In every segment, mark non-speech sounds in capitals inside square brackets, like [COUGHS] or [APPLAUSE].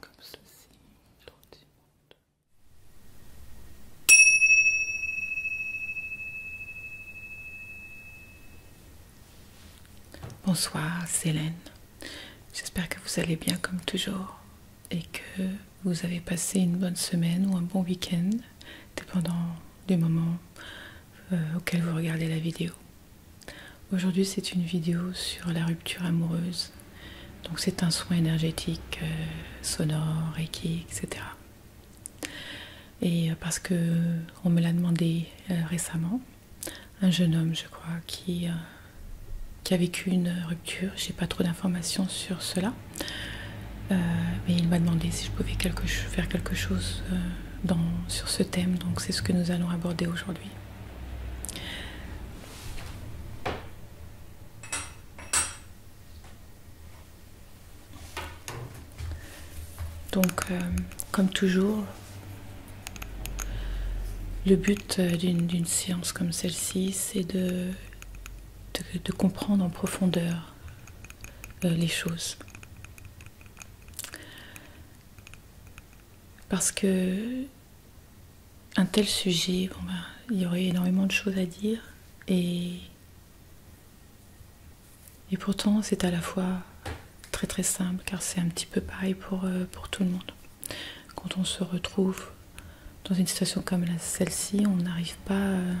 Comme ceci, Bonsoir, Célène. J'espère que vous allez bien comme toujours et que vous avez passé une bonne semaine ou un bon week-end, dépendant du moment euh, auquel vous regardez la vidéo. Aujourd'hui c'est une vidéo sur la rupture amoureuse. Donc c'est un soin énergétique, euh, sonore, reiki, etc. Et euh, parce que on me l'a demandé récemment, un jeune homme, je crois, qui, euh, qui a vécu une rupture. Je n'ai pas trop d'informations sur cela. Euh, mais il m'a demandé si je pouvais faire quelque chose euh, sur ce thème, donc c'est ce que nous allons aborder aujourd'hui. Donc, comme toujours, le but euh, d'une séance comme celle-ci, c'est de, de, comprendre en profondeur euh, les choses. Parce que un tel sujet, ben, il y aurait énormément de choses à dire et, et pourtant c'est à la fois très très simple car c'est un petit peu pareil pour, euh, pour tout le monde. Quand on se retrouve dans une situation comme celle-ci, on n'arrive pas euh,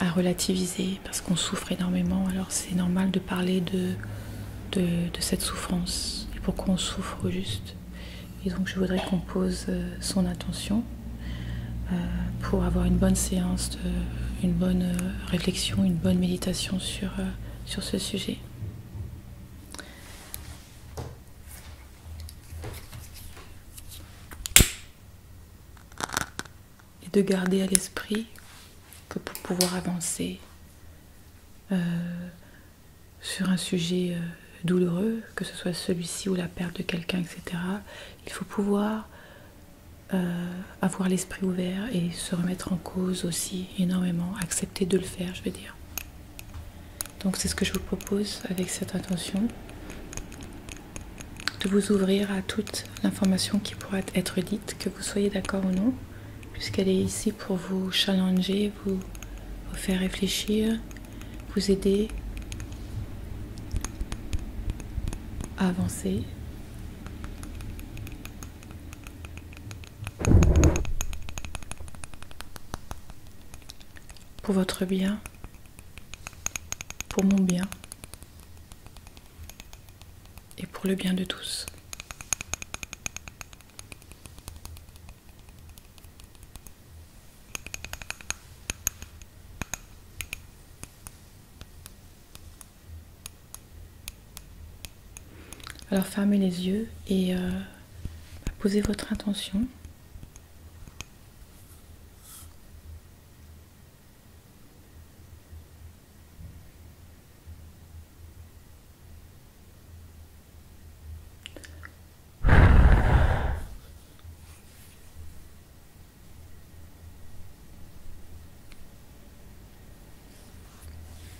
à relativiser parce qu'on souffre énormément. Alors c'est normal de parler de, de, cette souffrance et pourquoi on souffre juste. Et donc je voudrais qu'on pose euh, son attention euh, pour avoir une bonne séance, une bonne réflexion, une bonne méditation sur, sur ce sujet. Et de garder à l'esprit que pour pouvoir avancer euh, sur un sujet euh, douloureux, que ce soit celui-ci ou la perte de quelqu'un, etc., il faut pouvoir euh, avoir l'esprit ouvert et se remettre en cause aussi énormément, accepter de le faire, je veux dire. Donc c'est ce que je vous propose avec cette intention, de vous ouvrir à toute l'information qui pourra être dite, que vous soyez d'accord ou non, puisqu'elle est ici pour vous challenger, vous, vous faire réfléchir, vous aider à avancer pour votre bien, pour mon bien et pour le bien de tous. Alors fermez les yeux et... Euh, posez votre intention.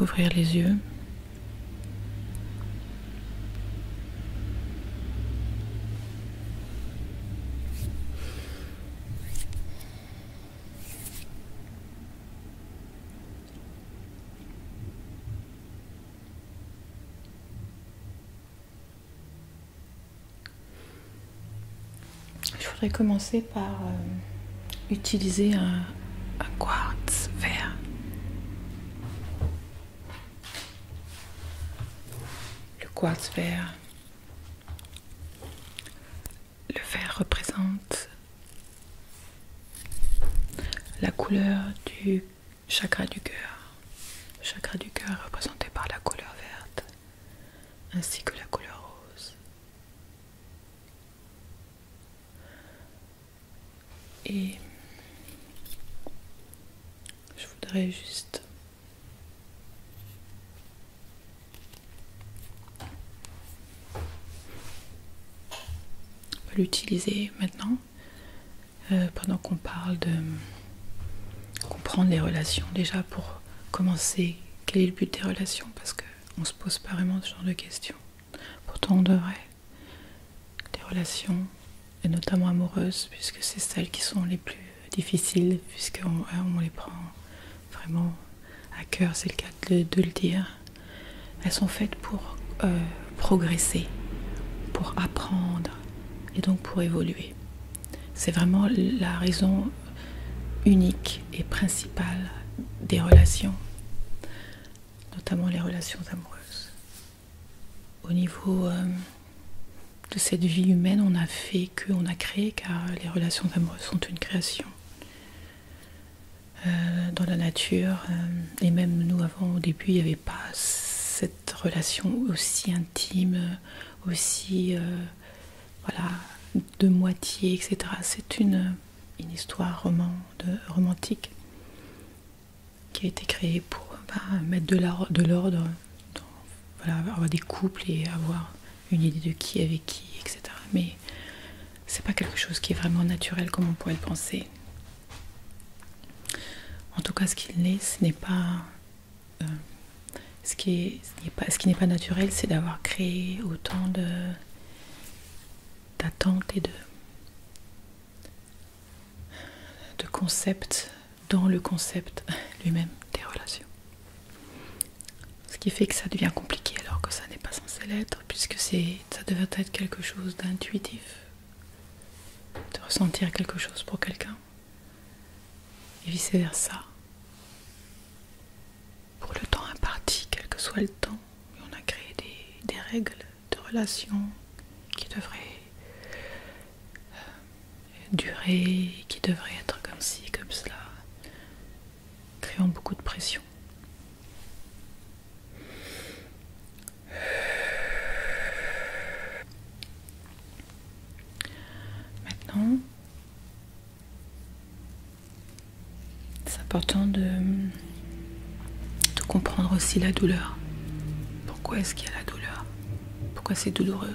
Vous pouvez ouvrir les yeux. Je voudrais commencer par euh, utiliser un quartz vert. Le quartz vert le vert représente la couleur du chakra du cœur. chakra du cœur représenté par la couleur verte ainsi que la couleur rose. Et je voudrais juste on peut l'utiliser maintenant euh, pendant qu'on parle de comprendre les relations déjà pour commencer quel est le but des relations parce qu'on se pose pas vraiment ce genre de questions. Pourtant on devrait. Des relations, et notamment amoureuses, puisque c'est celles qui sont les plus difficiles puisqu'on euh, on les prend vraiment à cœur, c'est le cas de, le dire. Elles sont faites pour euh, progresser, pour apprendre et donc pour évoluer. C'est vraiment la raison unique et principale des relations, notamment les relations amoureuses. Au niveau euh, de cette vie humaine, on a fait que, on a créé, car les relations amoureuses sont une création. Euh, dans la nature. Euh, et même nous, avant, au début, il n'y avait pas cette relation aussi intime, aussi euh, voilà, de moitié, etc. C'est une, une histoire roman, romantique qui a été créée pour bah, mettre de l'ordre, voilà, avoir des couples et avoir une idée de qui avec qui, etc. Mais c'est pas quelque chose qui est vraiment naturel comme on pourrait le penser. En tout cas, ce qu'il n'est, ce n'est pas. Euh, ce qui n'est pas, naturel, c'est d'avoir créé autant d'attentes et de concepts dans le concept [LAUGHS] lui-même des relations. Ce qui fait que ça devient compliqué alors que ça n'est pas censé l'être, puisque ça devrait être quelque chose d'intuitif, de ressentir quelque chose pour quelqu'un, et vice-versa. Pour le temps imparti, quel que soit le temps, on a créé des, règles de relation qui devraient euh, durer, qui devraient être comme ci, comme cela créant beaucoup de pression. Maintenant, c'est important de, de comprendre aussi la douleur. Pourquoi est-ce qu'il y a la douleur Pourquoi c'est douloureux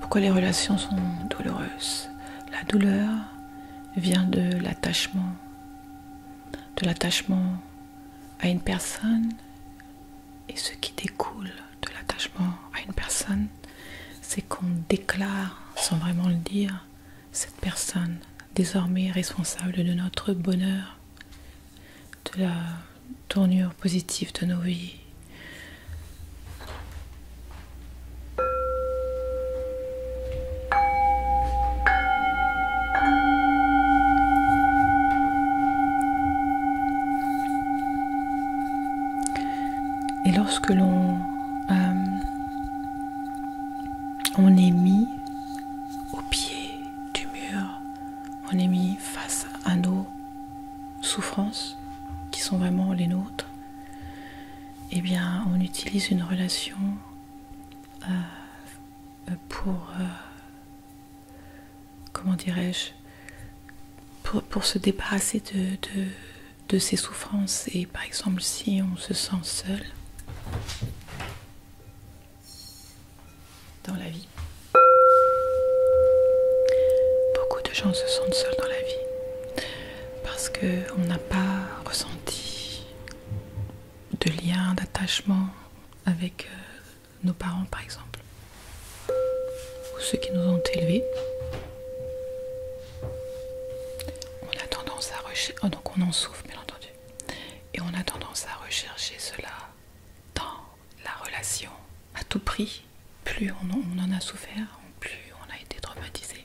Pourquoi les relations sont douloureuses La douleur vient de l'attachement, de l'attachement à une personne et ce qui découle de l'attachement à une personne, c'est qu'on déclare, sans vraiment le dire, cette personne désormais responsable de notre bonheur, de la tournure positive de nos vies. Et lorsque l'on euh, on est mis au pied du mur, on est mis face à nous souffrances qui sont vraiment les nôtres, eh bien, on utilise une relation euh, pour, euh, comment dirais-je, pour, pour, se débarrasser de ces souffrances. Et par exemple, si on se sent seul, dans la vie. Beaucoup de gens se sentent seuls dans la vie parce qu'on n'a pas ressenti de lien, d'attachement avec euh, nos parents par exemple, ou ceux qui nous ont élevés. On a tendance à rechercher, oh, donc on en souffre bien entendu, et on a tendance à rechercher cela dans la relation à tout prix. Plus on, en a souffert, plus on a été traumatisé.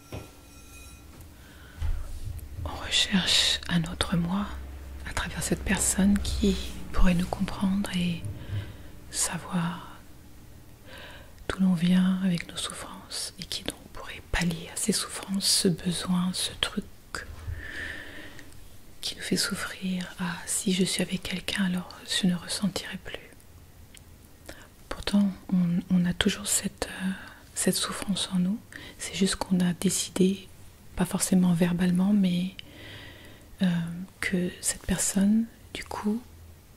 On recherche un autre moi à travers cette personne qui pourrait nous comprendre et savoir d'où l'on vient avec nos souffrances et qui donc pourrait pallier à ces souffrances, ce besoin, ce truc qui nous fait souffrir. Ah, si je suis avec quelqu'un, alors je ne ressentirai plus. Pourtant, on, a toujours cette... Euh, cette souffrance en nous. C'est juste qu'on a décidé, pas forcément verbalement, mais euh, que cette personne, du coup,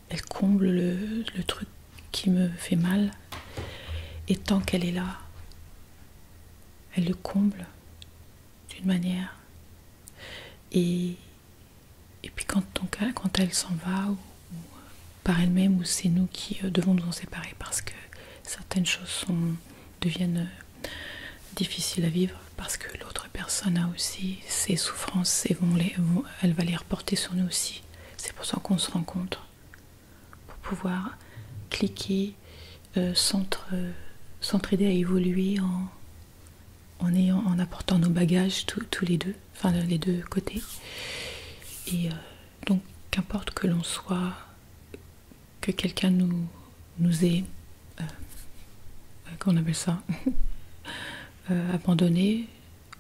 elle comble le, truc qui me fait mal. Et tant qu'elle est là, elle le comble d'une manière. Et, et puis quand, ton, quand elle s'en va ou par elle-même ou c'est nous qui euh, devons nous en séparer parce que certaines choses deviennent euh, difficiles à vivre parce que l'autre personne a aussi ses souffrances et elle va les reporter sur nous aussi. C'est pour ça qu'on se rencontre, pour pouvoir cliquer, euh, s'entraider à évoluer en, en, ayant, en apportant nos bagages tous les deux, enfin les deux côtés. Donc qu'importe que l'on soit, que quelqu'un nous, ait, qu'on euh, euh, appelle ça, [LAUGHS] euh, abandonné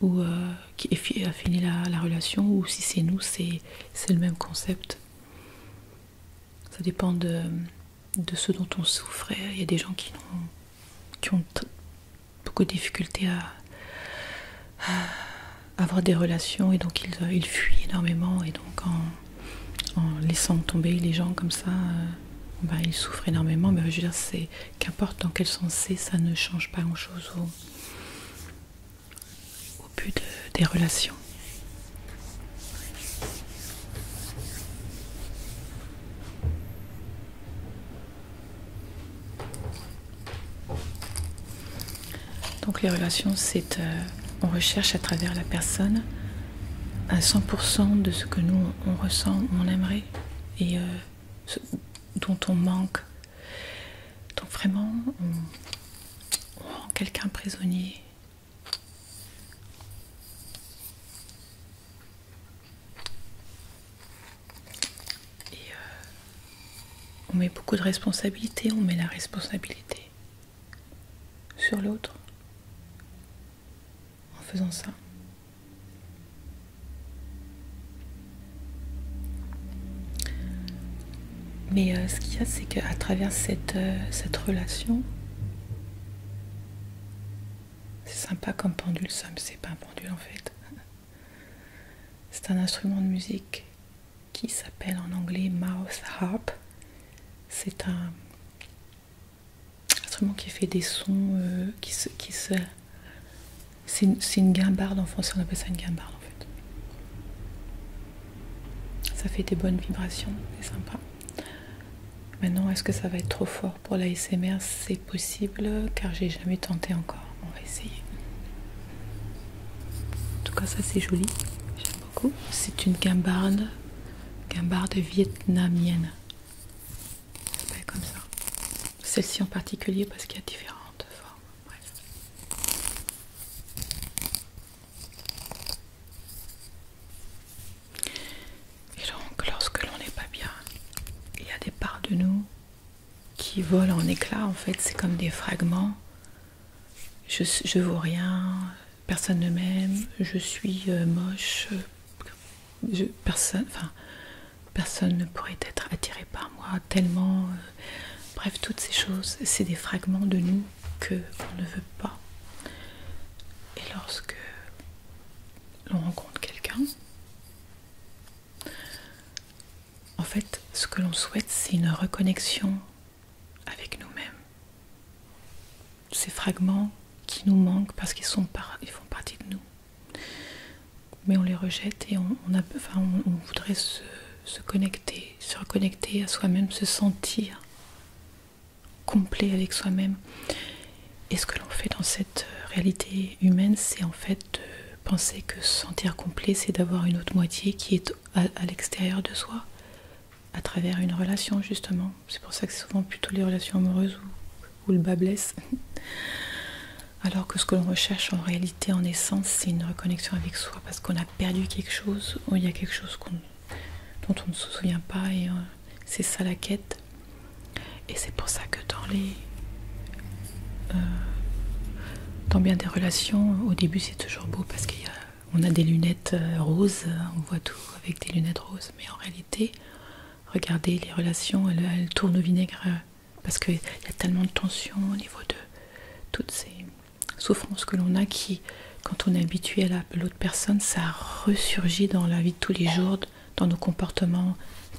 ou qui a fini la, relation, ou si c'est nous, c'est le même concept. Ça dépend de, de ce dont on souffrait. Il y a des gens qui ont beaucoup de difficultés à, [SIGHS] avoir des relations et donc ils, ils fuient énormément et donc en, laissant tomber les gens comme ça, euh, bah, ils souffrent énormément. Mais je veux dire, c'est qu'importe dans quel sens c'est, ça ne change pas grand-chose au, but des relations. Donc les relations, c'est euh, on recherche à travers la personne à 100% de ce que nous on ressent, on aimerait et euh, dont on manque. Donc vraiment, on, rend quelqu'un prisonnier. Et euh, on met beaucoup de responsabilité, on met la responsabilité sur l'autre en faisant ça. Mais euh, ce qu'il y a, c'est qu'à travers cette, euh, cette relation, c'est sympa comme pendule, ça, mais c'est pas un pendule en fait. [LAUGHS] C'est un instrument de musique qui s'appelle en anglais mouth harp. C'est un instrument qui fait des sons euh, qui se. c'est une, guimbarde en français, on appelle ça une guimbarde en fait. Ça fait des bonnes vibrations, c'est sympa. Maintenant, est-ce que ça va être trop fort pour la SMR C'est possible car j'ai jamais tenté encore. On va essayer. En tout cas, ça c'est joli. J'aime beaucoup. C'est une guimbarde guimbarde vietnamienne. comme ça. Celle-ci en particulier parce qu'il y a différentes formes. Et donc, lorsque l'on n'est pas bien, il y a des parts de nous qui volent en éclats. En fait, c'est comme des fragments je, ne vaux rien, personne ne m'aime, je suis euh, moche, euh, personne, enfin, personne ne pourrait être attiré par moi tellement. Euh, bref, toutes ces choses, c'est des fragments de nous que ne veut pas. Et lorsque l'on rencontre quelqu'un, en fait, ce que l'on souhaite, c'est une reconnexion avec nous-mêmes. Ces fragments qui nous manquent parce qu'ils sont ils font partie de nous. Mais on les rejette et on, voudrait se, connecter, se reconnecter à soi-même, se sentir complet avec soi-même. Et ce que l'on fait dans cette euh, réalité humaine, c'est en fait de penser que se sentir complet, c'est d'avoir une autre moitié qui est à, l'extérieur de soi à travers une relation justement. C'est pour ça que c'est souvent plutôt les relations amoureuses où, le bas blesse. [LAUGHS] Alors que ce que l'on recherche en réalité, en essence, c'est une reconnexion avec soi parce qu'on a perdu quelque chose, ou il y a quelque chose dont on ne se souvient pas et euh, c'est ça la quête. Et c'est pour ça que dans les... Euh, dans bien des relations, au début c'est toujours beau parce qu'on a, a des lunettes euh, roses, on voit tout avec des lunettes roses, mais en réalité, regardez les relations, elles, tournent au vinaigre euh, parce qu'il y a tellement de tensions au niveau de toutes ces souffrances que l'on a qui, quand on est habitué à l'autre personne, ça ressurgit dans la vie de tous les jours, dans nos comportements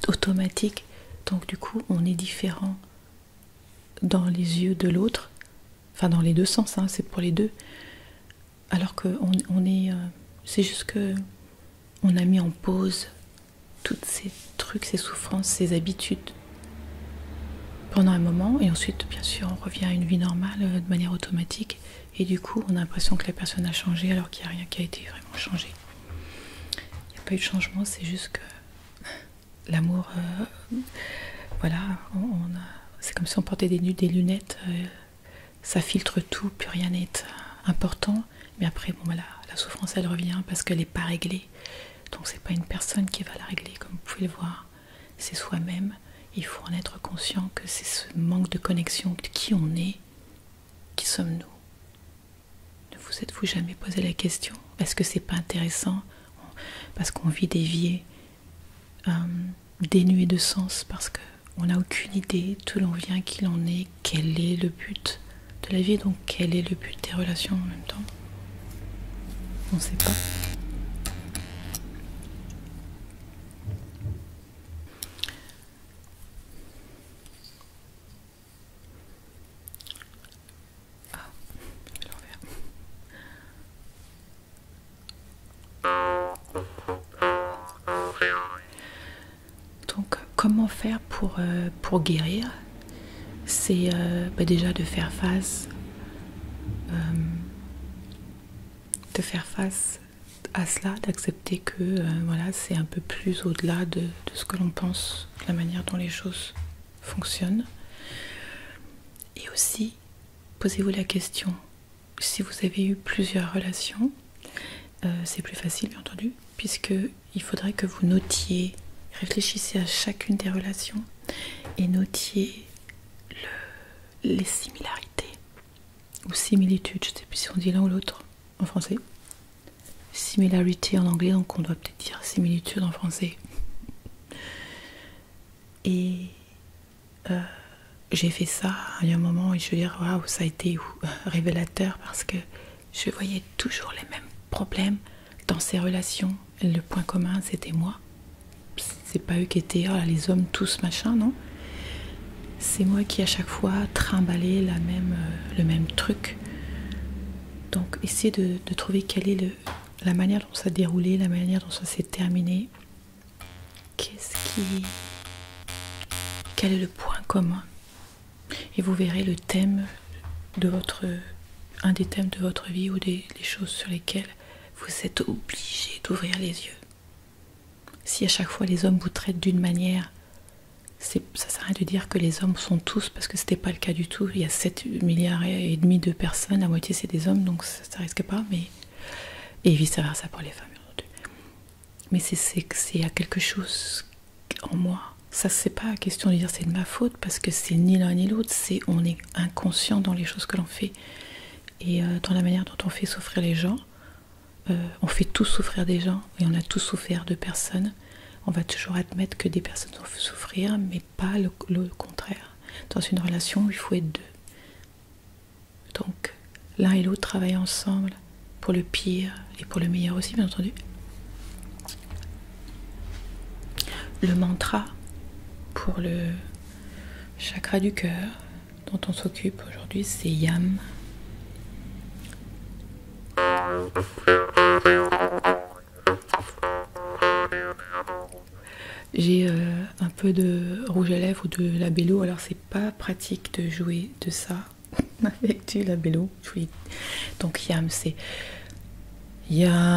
automatiques. Donc du coup, on est différent dans les yeux de l'autre, enfin dans les deux sens, hein, c'est pour les deux. Alors que on, est, euh, c'est juste que on a mis en pause tous ces trucs, ces souffrances, ces habitudes pendant un moment, et ensuite, bien sûr, on revient à une vie normale euh, de manière automatique, et du coup, on a l'impression que la personne a changé alors qu'il n'y a rien qui a été vraiment changé. Il n'y a pas eu de changement, c'est juste que l'amour, euh, voilà, c'est comme si on portait des, lunettes, euh, ça filtre tout, plus rien n'est important. Mais après, bon voilà, la souffrance elle revient parce qu'elle n'est pas réglée. Donc c'est pas une personne qui va la régler, comme vous pouvez le voir, c'est soi-même. Il faut en être conscient que c'est ce manque de connexion qui on est, qui sommes-nous. Ne vous êtes-vous jamais posé la question Est-ce que c'est pas intéressant parce qu'on vit dévié, vies euh, dénué de sens, parce qu'on n'a aucune idée d'où l'on vient, qui l'on est, quel est le but de la vie, donc quel est le but des relations en même temps. On ne sait pas. Ah, Donc, comment faire pour, euh, guérir C'est euh, bah, déjà de faire face, euh, de faire face à cela, d'accepter que voilà, c'est un peu plus au-delà de, ce que l'on pense, la manière dont les choses fonctionnent. Et aussi, posez-vous la question, si vous avez eu plusieurs relations, euh, c'est plus facile bien entendu, puisque il faudrait que vous notiez, réfléchissez à chacune des relations et notiez les similarités ou similitudes, je ne sais plus si on dit l'un ou l'autre en français. Similarité en anglais, donc on doit peut-être dire similitude en français. Et euh, j'ai fait ça il y a un moment et je veux dire, waouh, ça a été euh, révélateur parce que je voyais toujours les mêmes problèmes dans ces relations. Le point commun, c'était moi. C'est pas eux qui étaient oh les hommes tous machin, non C'est moi qui à chaque fois trimbalais la même, euh, le même truc. Donc, essayer de trouver quel est le, la manière dont ça a déroulé, la manière dont ça s'est terminé. Qu'est-ce qui. Quel est le point commun Et vous verrez le thème de votre. un des thèmes de votre vie ou des, choses sur lesquelles vous êtes obligé d'ouvrir les yeux. Si à chaque fois les hommes vous traitent d'une manière, ça sert à rien de dire que les hommes sont tous parce que c'était pas le cas du tout. Il y a 7 milliards et demi de personnes, la moitié c'est des hommes, donc ça, risque pas, mais et vice versa pour les femmes. Mais c'est que c'est à quelque chose en moi. Ça, c'est pas question de dire c'est de ma faute, parce que c'est ni l'un ni l'autre, c'est on est inconscient dans les choses que l'on fait et euh, dans la manière dont on fait souffrir les gens. Euh, on fait tous souffrir des gens et on a tous souffert de personnes. On va toujours admettre que des personnes ont souffrir, mais pas le, contraire. Dans une relation, il faut être deux. Donc l'un et l'autre travaillent ensemble pour le pire et pour le meilleur aussi, bien entendu. Le mantra pour le chakra du cœur dont on s'occupe aujourd'hui, c'est Yam. J'ai euh, un peu de rouge à lèvres ou de labello, alors c'est pas pratique de jouer de ça [LAUGHS] avec du labello. Donc Yam c'est Yam.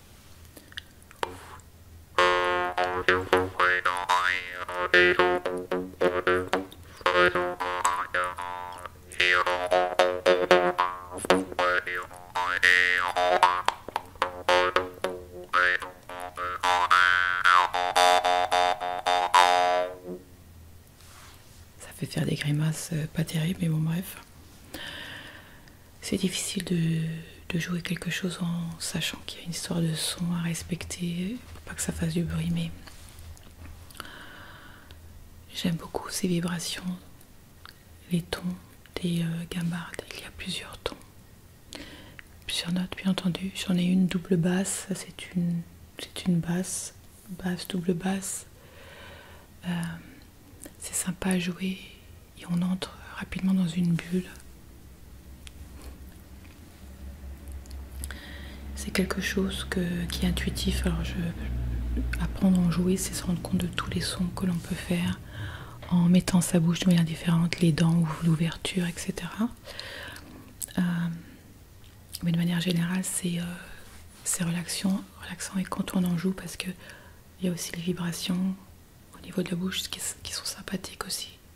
Ça fait faire des grimaces euh, pas terribles, mais bon, bref c'est difficile de, jouer quelque chose en sachant qu'il y a une histoire de son à respecter pas que ça fasse du bruit mais j'aime beaucoup ces vibrations les tons des euh, il y a plusieurs tons plusieurs notes bien entendu j'en ai une double basse c'est une c'est une basse basse double basse euh, c'est sympa à jouer et on entre rapidement dans une bulle. C'est quelque chose qui est intuitif. Alors je, apprendre à en jouer, c'est se rendre compte de tous les sons que l'on peut faire en mettant sa bouche de manière différente, les dents ou l'ouverture, etc. Euh, mais de manière générale, c'est euh, relaxant, et quand on en joue, parce qu'il y a aussi les vibrations au niveau de la bouche qui sont sympathiques aussi.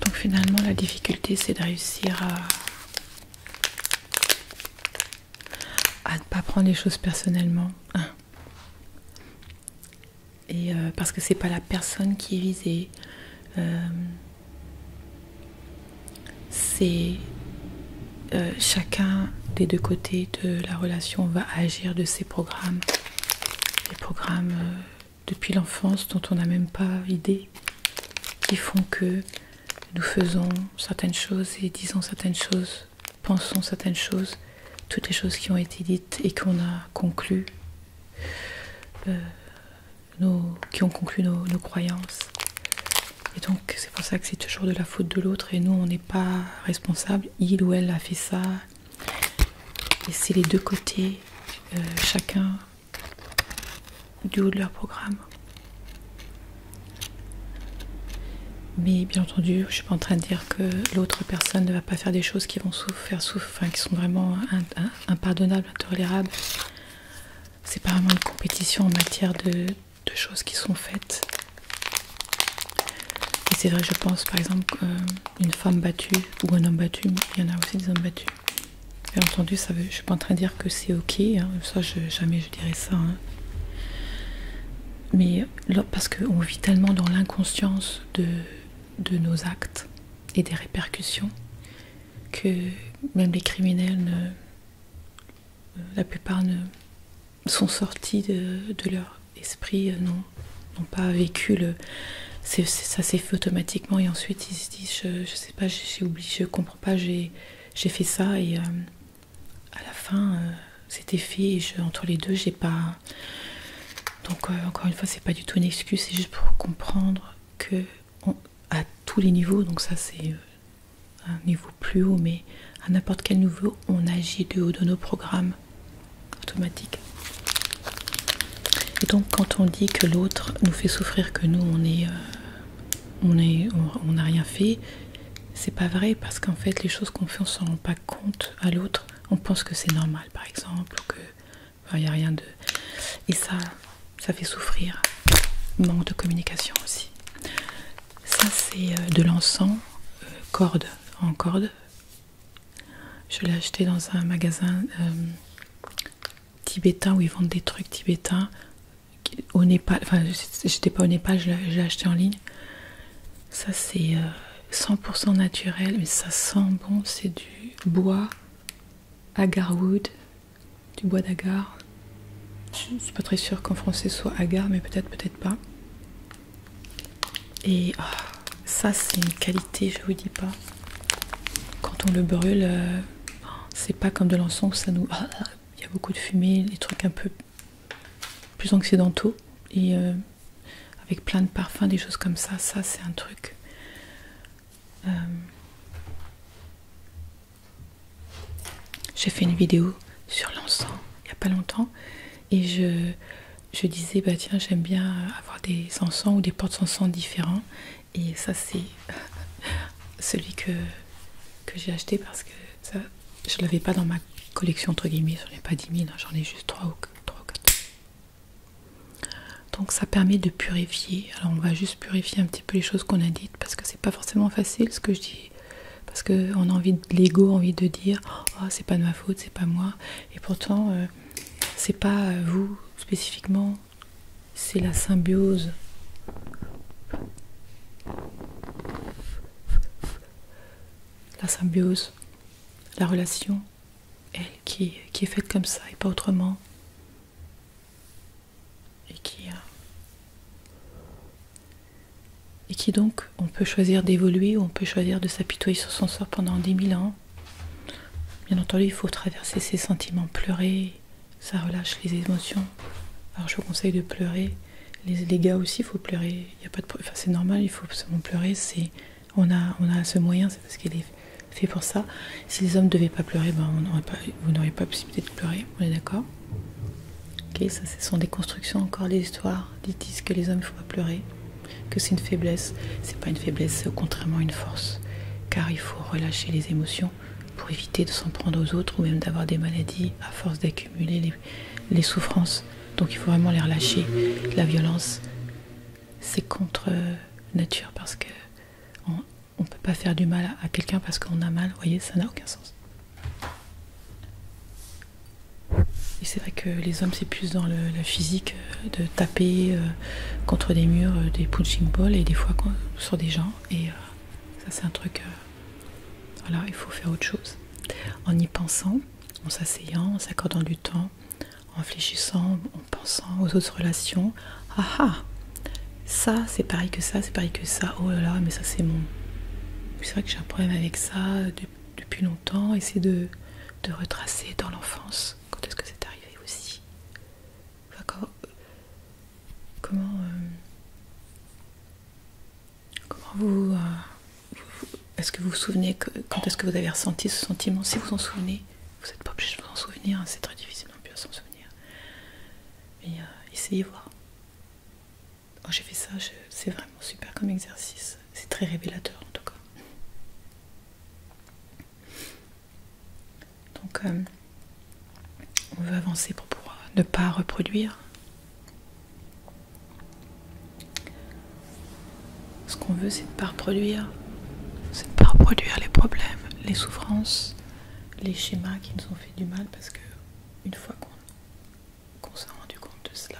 Donc finalement la difficulté c'est de réussir à, ne pas prendre les choses personnellement. Hein. Et euh, parce que c'est pas la personne qui est visée. Euh, c'est euh, chacun des deux côtés de la relation va agir de ses programmes. Les programmes depuis l'enfance dont on n'a même pas idée, qui font que nous faisons certaines choses et disons certaines choses, pensons certaines choses, toutes les choses qui ont été dites et qu'on a conclues, euh, qui ont conclu nos, croyances. Et donc c'est pour ça que c'est toujours de la faute de l'autre et nous on n'est pas responsable, il ou elle a fait ça. Et c'est les deux côtés, euh, chacun du haut de leur programme. Mais bien entendu, je ne suis pas en train de dire que l'autre personne ne va pas faire des choses qui vont faire souffrir, qui sont vraiment impardonnables, intolérables. C'est pas vraiment une compétition en matière de, de choses qui sont faites. Et c'est vrai, je pense par exemple qu'une femme battue ou un homme battu, il y en a aussi des hommes battus, Bien entendu, je ne suis pas en train de dire que c'est ok, hein. ça je, jamais je dirais ça. Hein. Mais parce qu'on vit tellement dans l'inconscience de, nos actes et des répercussions que même les criminels, la plupart ne, sont sortis de, leur esprit, euh, n'ont pas vécu ça s'est fait automatiquement et ensuite ils se disent sais pas, j'ai oublié, je comprends pas, j'ai fait ça et euh, à la fin euh, c'était fait entre les deux j'ai pas. Donc euh, encore une fois c'est pas du tout une excuse, c'est juste pour comprendre que à tous les niveaux, donc ça c'est un niveau plus haut, mais à n'importe quel niveau on agit de haut de nos programmes automatiques. Et donc quand on dit que l'autre nous fait souffrir, que nous euh, on est, on on n'a rien fait, c'est pas vrai parce qu'en fait les choses qu'on fait on s'en rend pas compte à l'autre. On pense que c'est normal par exemple que il a rien de et ça, ça fait souffrir. Manque de communication aussi. Ça c'est euh, de l'encens euh, corde en corde. Je l'ai acheté dans un magasin tibétain où ils vendent des trucs tibétains au Népal. Enfin, j'étais pas au Népal, je l'ai acheté en ligne. Ça, c'est 100% euh, naturel, mais ça sent bon. C'est du bois agarwood, du bois d'agar. Je suis pas très sûre qu'en français soit agar, mais peut-être, peut-être pas. Et oh, ça, c'est une qualité, je vous dis pas. Quand on le brûle, euh, c'est pas comme de l'encens, ça nous. Ah, il y a beaucoup de fumée, des trucs un peu plus occidentaux et euh, avec plein de parfums, des choses comme ça. Ça, c'est un truc. Euh, j'ai fait une vidéo sur l'encens il n'y a pas longtemps et je, je disais, bah tiens, j'aime bien avoir des encens ou des portes encens différents et ça c'est [LAUGHS] celui que, j'ai acheté parce que je ne l'avais pas dans ma collection entre guillemets, j'en ai pas 10 000, hein, j'en ai juste 3 ou, 4. Donc ça permet de purifier, alors on va juste purifier un petit peu les choses qu'on a dites parce que c'est pas forcément facile ce que je dis parce qu'on a envie de l'ego, envie de dire oh, c'est pas de ma faute, c'est pas moi, et pourtant euh, c'est pas euh, vous spécifiquement c'est la symbiose la symbiose, la relation, elle qui, est faite comme ça et pas autrement. Et qui, euh, et qui donc, on peut choisir d'évoluer, on peut choisir de s'apitoyer sur son sort pendant dix mille ans. Bien entendu, il faut traverser ses sentiments, pleurés ça relâche les émotions. Alors je vous conseille de pleurer. Les, les gars aussi, il faut pleurer. Il y a pas de, c'est normal, il faut absolument pleurer. C'est, on a, on a ce moyen, c'est parce qu'il est fait pour ça. Si les hommes ne devaient pas pleurer, ben, on pas, vous n'auriez pas possibilité de pleurer. On est d'accord Ok, ça, ce sont des constructions encore des histoires. dites que les hommes, il ne faut pas pleurer, que c'est une faiblesse. C'est pas une faiblesse, c'est au contraire une force, car il faut relâcher les émotions pour éviter de s'en prendre aux autres ou même d'avoir des maladies à force d'accumuler les, souffrances. Donc il faut vraiment les relâcher. La violence, c'est contre euh, nature parce que on ne peut pas faire du mal à, quelqu'un parce qu'on a mal. Vous voyez, ça n'a aucun sens. Et c'est vrai que les hommes, c'est plus dans le, physique, euh, de taper, euh, euh, contre des murs, euh, des punching balls et des fois sur des gens. Et euh, ça, c'est un truc. voilà, il faut faire autre chose. En y pensant, en s'asseyant, en s'accordant du temps, en réfléchissant, en pensant aux autres relations. Ah ah Ça, c'est pareil que ça, c'est pareil que ça. Oh là là, mais ça, c'est mon. C'est vrai que j'ai un problème avec ça depuis longtemps. Essayer de, de retracer dans l'enfance. Quand est-ce que c'est arrivé aussi d'accord comment, euh, comment euh, vous, est-ce que vous vous souvenez quand est-ce que vous avez ressenti ce sentiment si vous vous en souvenez vous n'êtes pas obligé de vous en souvenir hein, c'est très difficile non plus à s'en souvenir mais euh, essayez voir Quand j'ai fait ça c'est vraiment super comme exercice c'est très révélateur en tout cas donc euh, on veut avancer pour ne pas reproduire. Ce qu'on veut c'est de ne pas reproduire. C'est reproduire les problèmes, les souffrances, les schémas qui nous ont fait du mal parce que une fois qu'on s'est rendu compte de cela,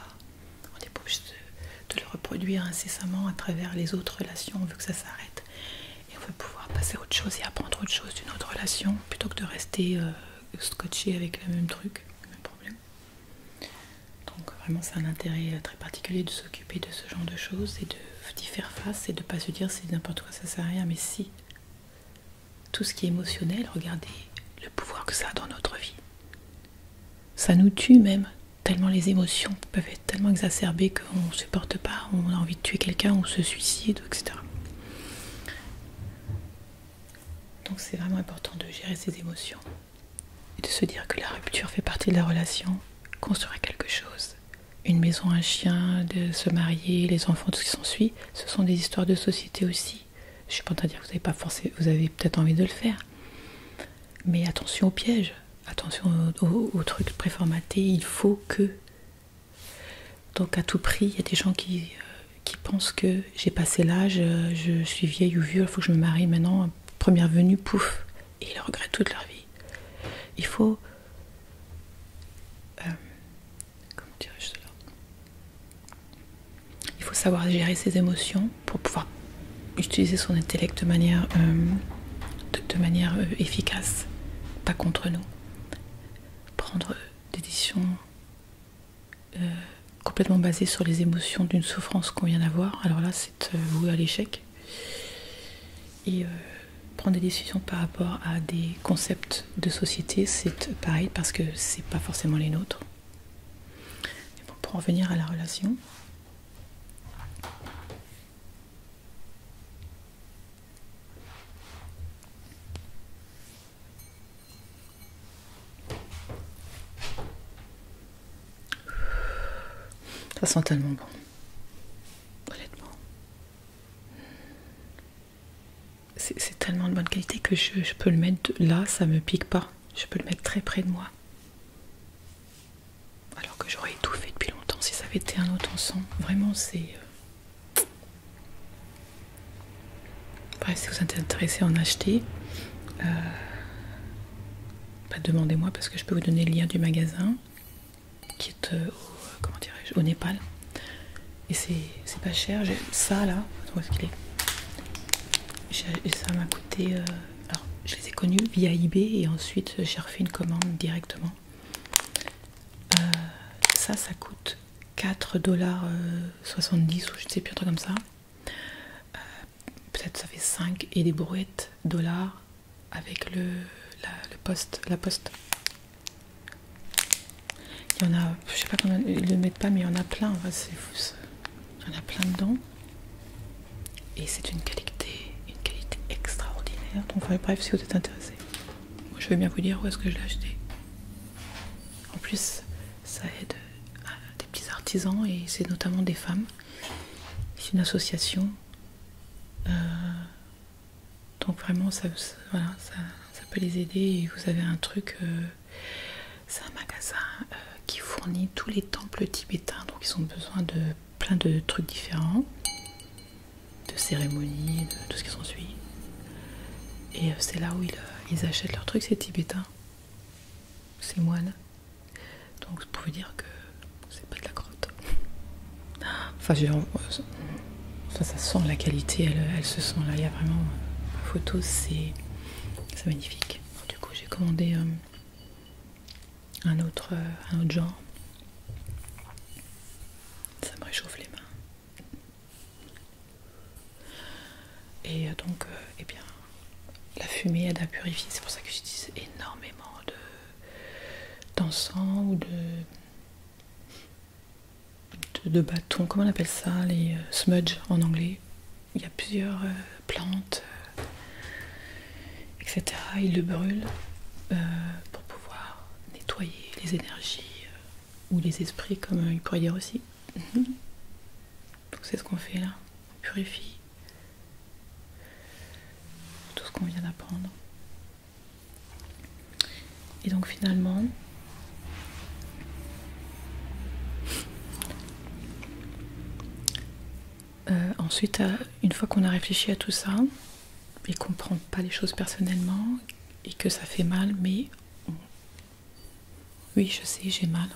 on est obligé de, de le reproduire incessamment à travers les autres relations, on veut que ça s'arrête et on va pouvoir passer à autre chose et apprendre autre chose d'une autre relation plutôt que de rester euh, scotché avec le même truc, le même problème. Donc vraiment c'est un intérêt euh, très particulier de s'occuper de ce genre de choses et d'y faire face et de pas se dire c'est n'importe quoi ça sert à rien mais si tout ce qui est émotionnel, regardez le pouvoir que ça a dans notre vie. Ça nous tue même, tellement les émotions peuvent être tellement exacerbé qu'on ne supporte pas, on a envie de tuer quelqu'un, on se suicide, etc. Donc c'est vraiment important de gérer ses émotions et de se dire que la rupture fait partie de la relation, construire quelque chose, une maison, un chien, de se marier, les enfants, tout ce qui suit, ce sont des histoires de société aussi. Je suis pas en train de dire que vous avez pas forcé, vous avez peut-être envie de le faire. Mais attention aux pièges, attention aux trucs préformatés, il faut que donc à tout prix, il y a des gens qui, euh, pensent que j'ai passé l'âge, euh, je suis vieille ou vieux, il faut que je me marie maintenant, première venue, pouf, et ils regrettent toute leur vie. Il faut... Euh, il faut savoir gérer ses émotions pour pouvoir utiliser son intellect de manière, efficace, pas contre nous prendre des décisions euh, complètement basées sur les émotions d'une souffrance qu'on vient d'avoir, alors là c'est euh, voué à l'échec. Et euh, prendre des décisions par rapport à des concepts de société, c'est pareil parce que c'est pas forcément les nôtres. pour en venir à la relation, ça sent tellement bon. Honnêtement. C'est tellement de bonne qualité que je, peux le mettre là, ça me pique pas. Je peux le mettre très près de moi. Alors que j'aurais étouffé depuis longtemps si ça avait été un autre ensemble Vraiment, c'est. Euh, Bref, si vous êtes intéressé à en acheter, euh, bah, demandez-moi parce que je peux vous donner le lien du magasin qui est euh, au, Népal. Et c'est pas cher. Ça là, Ça m'a coûté. Euh, alors, je les ai connus via eBay et ensuite j'ai refait une commande directement. Euh, ça, ça coûte 4,70$ euh, ou je sais plus, un truc comme ça. Euh, peut-être ça fait 5 et des brouettes dollars avec le, la, poste, la poste. Il y en a, je sais pas comment ils le mettent pas, mais il y en a plein, c'est fou ça. Il y en a plein dedans. Et c'est une qualité, une qualité extraordinaire. Donc, bref, si vous êtes intéressé je vais bien vous dire où est-ce que je l'ai acheté. En plus, ça aide des petits artisans et c'est notamment des femmes. C'est une association. Euh, donc vraiment, ça, peut les aider et vous avez un truc. Euh, c'est un magasin euh, qui fournit tous les temples tibétains, donc ils ont besoin de plein de trucs différents de cérémonie, de tout ce qui s'ensuit. Et euh, c'est là où ils, euh, achètent leurs trucs, ces tibétains ces moines. Donc je pouvez dire que c'est pas de la grotte. Enfin, euh, ça, ça, sent la qualité, elle, se sent là. Il y a vraiment la photo, c'est magnifique. du coup, j'ai commandé un, autre, un autre genre ça me réchauffe les mains. Et euh, donc, euh, eh bien, la fumée aide à purifier, c'est pour ça que j'utilise énormément d'encens ou de, de, bâtons, comment on appelle ça, les euh, smudge en anglais. Il y a plusieurs plantes, etc. Ils le brûlent pour pouvoir nettoyer les énergies euh, ou les esprits, comme il pourrait dire aussi. Mhm. Donc c'est ce qu'on fait là, on purifie tout ce qu'on vient d'apprendre. Et donc finalement, euh, ensuite, euh, une fois qu'on a réfléchi à tout ça, mais comprend pas les choses personnellement et que ça fait mal, mais oui, je sais, j'ai mal.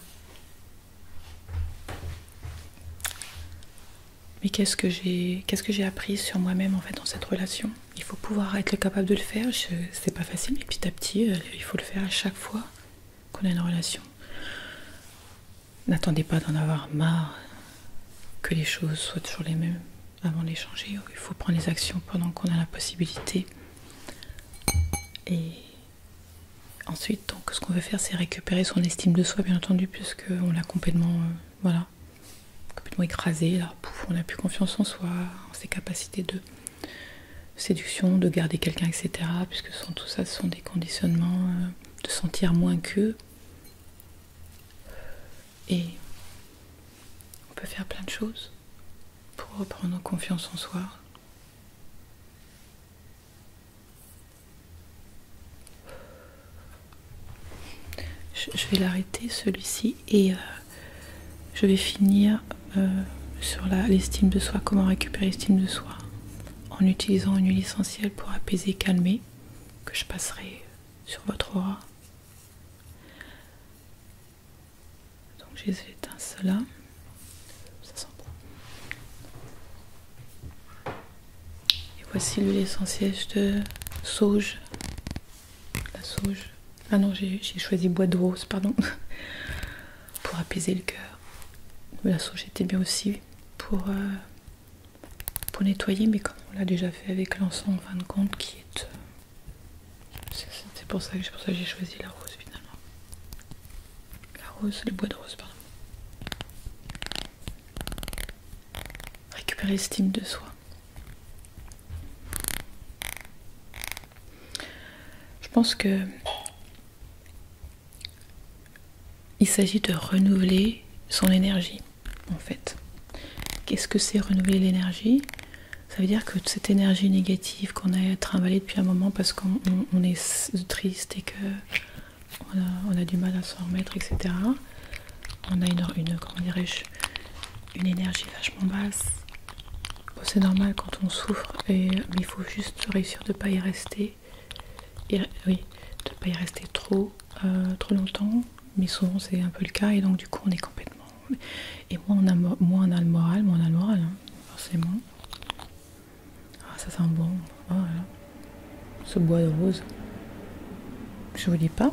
Mais qu'est-ce que j'ai qu'est-ce que j'ai appris sur moi-même en fait dans cette relation Il faut pouvoir être capable de le faire, c'est pas facile, mais petit à petit, euh, il faut le faire à chaque fois qu'on a une relation. N'attendez pas d'en avoir marre que les choses soient toujours les mêmes avant d'échanger Il faut prendre les actions pendant qu'on a la possibilité. Et ensuite, ce qu'on veut faire, c'est récupérer son estime de soi, bien entendu, puisqu'on l'a complètement, euh, voilà, complètement écrasé. Là, pouf, on n'a plus confiance en soi, en ses capacités de séduction, de garder quelqu'un, etc. Puisque tout ça, ce sont des conditionnements euh, de sentir moins qu'eux. Et on peut faire plein de choses pour reprendre confiance en soi. Je vais l'arrêter celui-ci et euh, je vais finir euh, sur l'estime de soi, comment récupérer l'estime de soi en utilisant une huile essentielle pour apaiser, calmer, que je passerai sur votre aura. Donc j'ai éteint cela. Ça sent bon. Et voici l'essentiel de sauge. La sauge. Ah non, j'ai choisi bois de rose, pardon. [LAUGHS] pour apaiser le cœur. La sauge était bien aussi pour, euh, pour nettoyer, mais comme on l'a déjà fait avec l'encens en fin de compte, qui est euh, c'est pour ça que j'ai choisi la rose finalement. La rose, le bois de rose, pardon. Récupérer l'estime de soi. Je pense que il s'agit de renouveler son énergie en fait. Qu'est-ce que c'est renouveler l'énergie Ça veut dire que cette énergie négative qu'on a trimballée depuis un moment parce qu'on est triste et que on a, du mal à s'en remettre, etc. On a une, une énergie vachement basse. c'est normal quand on souffre, et, mais il faut juste réussir de ne pas y rester. oui, de ne pas y rester trop euh, trop longtemps, mais souvent c'est un peu le cas et donc du coup on est complètement. Et moi on a, le moral, moins on a le moral, hein, forcément. Ah, ça sent bon, ah, voilà. ce bois de rose. Je vous dis pas.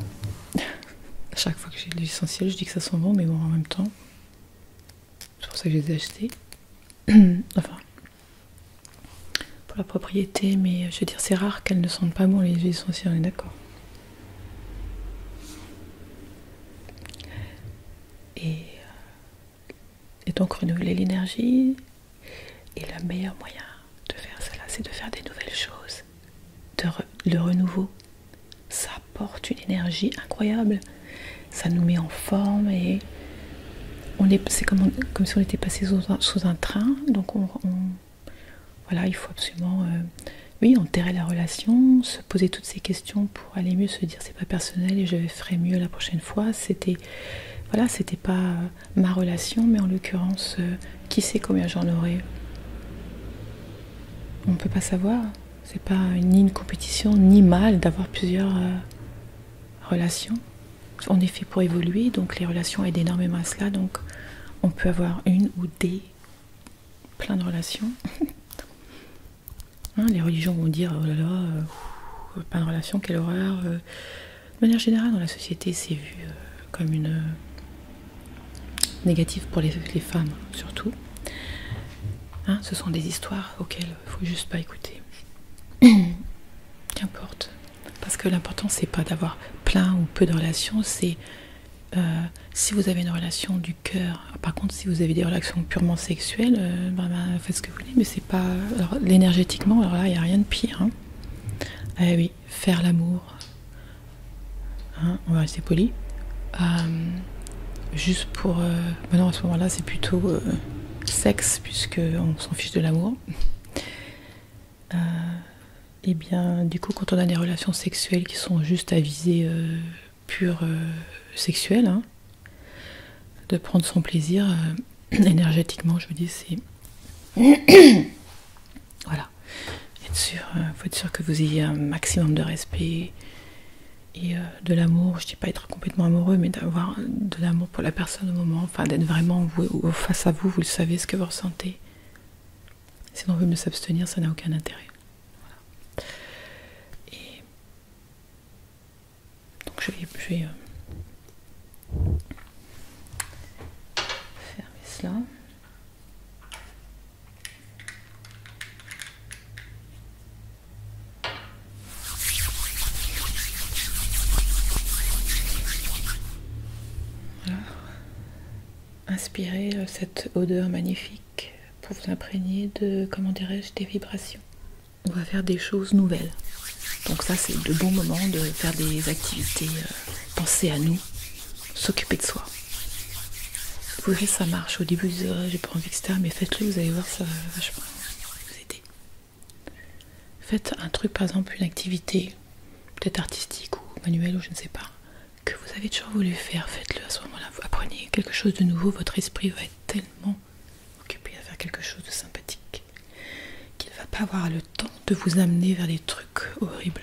[LAUGHS] à chaque fois que j'ai de l'essentiel, je dis que ça sent bon, mais bon, en même temps, c'est pour ça que je les ai [CLEARS THROAT] enfin, pour la propriété, mais je veux dire, c'est rare qu'elles ne sentent pas bon les huiles essentielles, on est d'accord. Euh, et, donc renouveler l'énergie. Et le meilleur moyen de faire cela, c'est de faire des nouvelles choses. le renouveau, ça apporte une énergie incroyable. Ça nous met en forme et on est, c'est comme, si on était passé sous un, train. Donc on voilà, il faut absolument, euh, oui, enterrer la relation, se poser toutes ces questions pour aller mieux, se dire c'est pas personnel et je ferai mieux la prochaine fois. C'était, voilà, c'était pas euh, ma relation, mais en l'occurrence, euh, qui sait combien j'en aurai On ne peut pas savoir. C'est pas ni une compétition ni mal d'avoir plusieurs relations. On est fait pour évoluer, donc les relations aident énormément à cela. Donc on peut avoir une ou des plein de relations. Hein, les religions vont dire oh là là, euh, plein de relations, quelle horreur. Euh. de manière générale, dans la société, c'est vu euh, comme une négative pour les, femmes, surtout. Hein, ce sont des histoires auxquelles il faut juste pas écouter. [COUGHS] Qu'importe. Parce que l'important, c'est pas d'avoir plein ou peu de relations, c'est euh, si vous avez une relation du cœur, par contre, si vous avez des relations purement sexuelles, euh, ben, ben, faites ce que vous voulez, mais c'est pas. Alors, énergétiquement, alors là, il n'y a rien de pire. Hein. Eh oui, faire l'amour. Hein, on va rester poli. Euh, juste pour. Maintenant non, à ce moment-là, c'est plutôt sexe, puisque on s'en fiche de l'amour et eh bien, du coup, quand on a des relations sexuelles qui sont juste à viser euh, pure euh, sexuelle, hein, de prendre son plaisir euh, [CLEARS THROAT] énergétiquement, je veux dire, c'est. [COUGHS] voilà. Il sûr, faut être sûr que vous ayez un maximum de respect et de l'amour. Je dis pas être complètement amoureux, mais d'avoir de l'amour pour la personne au moment, enfin d'être vraiment face à vous, vous le savez ce que vous ressentez. Sinon, on veut ne s'abstenir, ça n'a aucun intérêt. Voilà. Et donc je vais, euh, fermer cela. Voilà inspirez euh, cette odeur magnifique pour vous imprégner de, comment dirais-je, des vibrations. On va faire des choses nouvelles. Donc ça, c'est de bon moments de faire des activités, euh, penser à nous, s'occuper de soi. Vous voyez, ça marche. Au début, j'ai pas envie, etc. Mais faites-le, vous allez voir, ça va vachement vous aider. Faites un truc, par exemple, une activité, peut-être artistique ou manuelle ou je ne sais pas, que vous avez toujours voulu faire, faites-le à ce moment-là. Vous apprenez quelque chose de nouveau, votre esprit va être tellement occupé à faire quelque chose de sympathique qu'il ne va pas avoir le temps de vous amener vers des trucs horribles.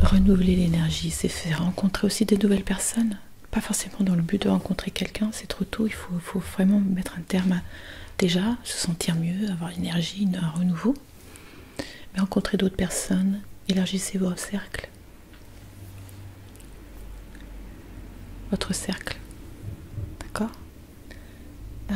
Renouveler l'énergie, c'est faire rencontrer aussi des nouvelles personnes. Pas forcément dans le but de rencontrer quelqu'un, c'est trop tôt, il faut, vraiment mettre un terme à déjà se sentir mieux, avoir l'énergie, un renouveau. Rencontrer d'autres personnes, élargissez vos cercles. Votre cercle. D'accord euh,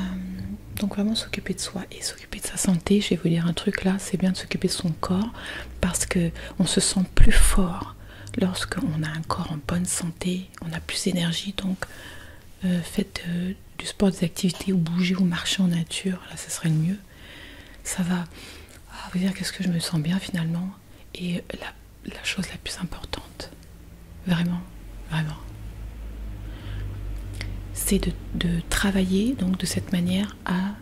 Donc vraiment s'occuper de soi et s'occuper de sa santé. Je vais vous dire un truc là, c'est bien de s'occuper de son corps parce que on se sent plus fort lorsqu'on a un corps en bonne santé, on a plus d'énergie. Donc euh, faites euh, du sport, des activités, ou bouger, ou marcher en nature, là ça serait le mieux. Ça va ah, vous dire qu'est-ce que je me sens bien finalement. Et la, chose la plus importante, vraiment, vraiment, c'est de, travailler donc de cette manière à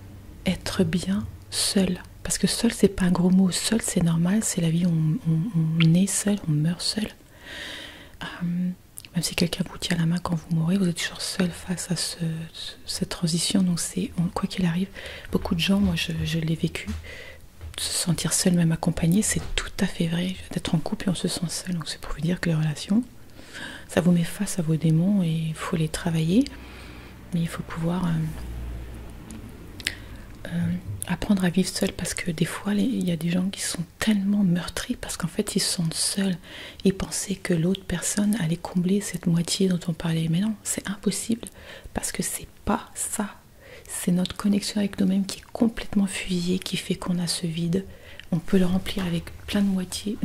être bien seul. Parce que seul, c'est pas un gros mot. Seul, c'est normal, c'est la vie, on, on, est seul, on meurt seul. Euh, même si quelqu'un vous tient la main quand vous mourrez, vous êtes toujours seul face à cette transition. Donc, c'est quoi qu'il arrive, beaucoup de gens, moi je, l'ai vécu, se sentir seul, même accompagné, c'est tout à fait vrai. D'être en couple et on se sent seul. Donc, c'est pour vous dire que les relations, ça vous met face à vos démons et il faut les travailler. Mais il faut pouvoir euh, euh, apprendre à vivre seul parce que des fois, il y a des gens qui sont tellement meurtri parce qu'en fait ils sont seuls. et pensaient que l'autre personne allait combler cette moitié dont on parlait. Mais non, c'est impossible parce que c'est pas ça. C'est notre connexion avec nous-mêmes qui est complètement fusillée, qui fait qu'on a ce vide. On peut le remplir avec plein de moitiés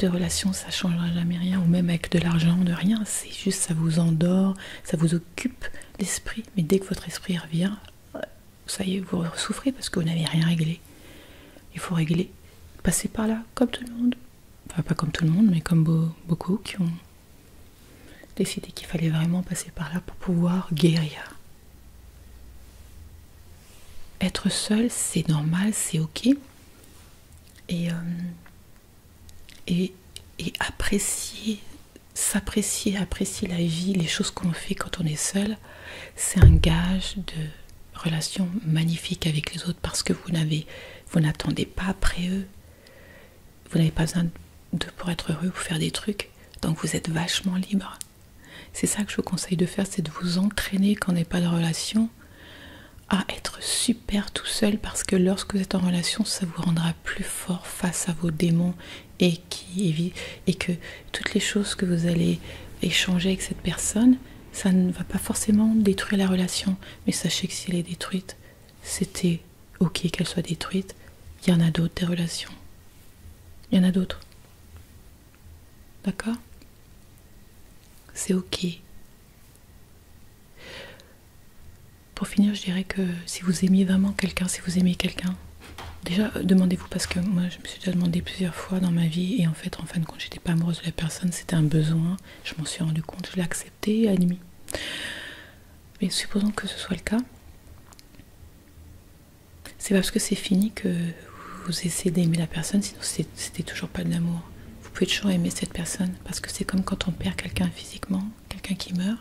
de relations, ça changera jamais rien. Ou même avec de l'argent, de rien. C'est juste ça vous endort, ça vous occupe l'esprit. Mais dès que votre esprit revient, ça y est, vous souffrez parce que vous n'avez rien réglé. Il faut régler, passer par là, comme tout le monde. Enfin, pas comme tout le monde, mais comme beaucoup qui ont décidé qu'il fallait vraiment passer par là pour pouvoir guérir. Être seul, c'est normal, c'est ok. et, euh, et apprécier, s'apprécier, apprécier la vie, les choses qu'on fait quand on est seul, c'est un gage de relation magnifique avec les autres parce que vous n'avez, vous n'attendez pas après eux. Vous n'avez pas besoin d'eux pour être heureux ou faire des trucs. Donc vous êtes vachement libre. C'est ça que je vous conseille de faire, c'est de vous entraîner quand on n'est pas de relation à être super tout seul parce que lorsque vous êtes en relation, ça vous rendra plus fort face à vos démons et qui, et que toutes les choses que vous allez échanger avec cette personne, ça ne va pas forcément détruire la relation. Mais sachez que si elle est détruite, c'était ok qu'elle soit détruite. Il y en a d'autres des relations. Il y en a d'autres. D'accord C'est ok. Pour finir, je dirais que si vous aimiez vraiment quelqu'un, si vous aimez quelqu'un, Déjà, euh, demandez-vous parce que moi je me suis déjà demandé plusieurs fois dans ma vie et en fait, en fin de compte, j'étais pas amoureuse de la personne, c'était un besoin. Je m'en suis rendu compte, je l'ai accepté, admis. Mais supposons que ce soit le cas, c'est parce que c'est fini que vous essayez d'aimer la personne, sinon c'était toujours pas de l'amour. Vous pouvez toujours aimer cette personne parce que c'est comme quand on perd quelqu'un physiquement, quelqu'un qui meurt.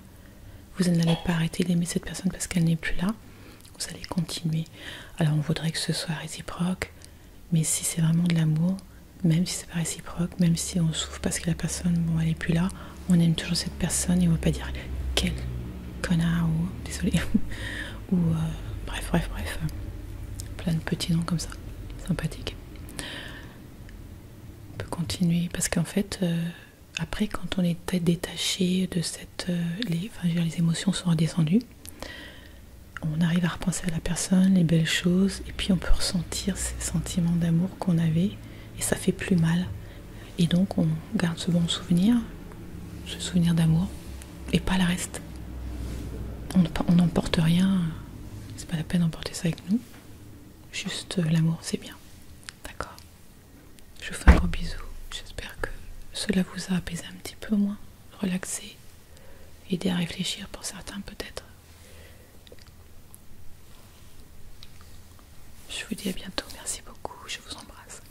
Vous n'allez pas arrêter d'aimer cette personne parce qu'elle n'est plus là vous allez continuer. Alors on voudrait que ce soit réciproque, mais si c'est vraiment de l'amour, même si c'est pas réciproque, même si on souffre parce que la personne, bon, elle est plus là, on aime toujours cette personne et on va pas dire quel connard ou désolé [LAUGHS] ou euh, bref, bref, bref, plein de petits noms comme ça, sympathique. On peut continuer parce qu'en fait. Euh, après, quand on est détaché de cette. Euh, enfin, les émotions sont redescendues, on arrive à repenser à la personne, les belles choses, et puis on peut ressentir ces sentiments d'amour qu'on avait, et ça fait plus mal. Et donc on garde ce bon souvenir, ce souvenir d'amour, et pas le reste. On n'emporte rien, c'est pas la peine d'emporter ça avec nous. Juste euh, l'amour, c'est bien. D'accord Je vous fais un gros bisou. J'espère que cela vous a apaisé un petit peu au moins relaxer, aider à réfléchir pour certains peut-être. Je vous dis à bientôt, merci beaucoup, je vous embrasse.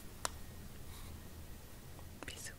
Bisous.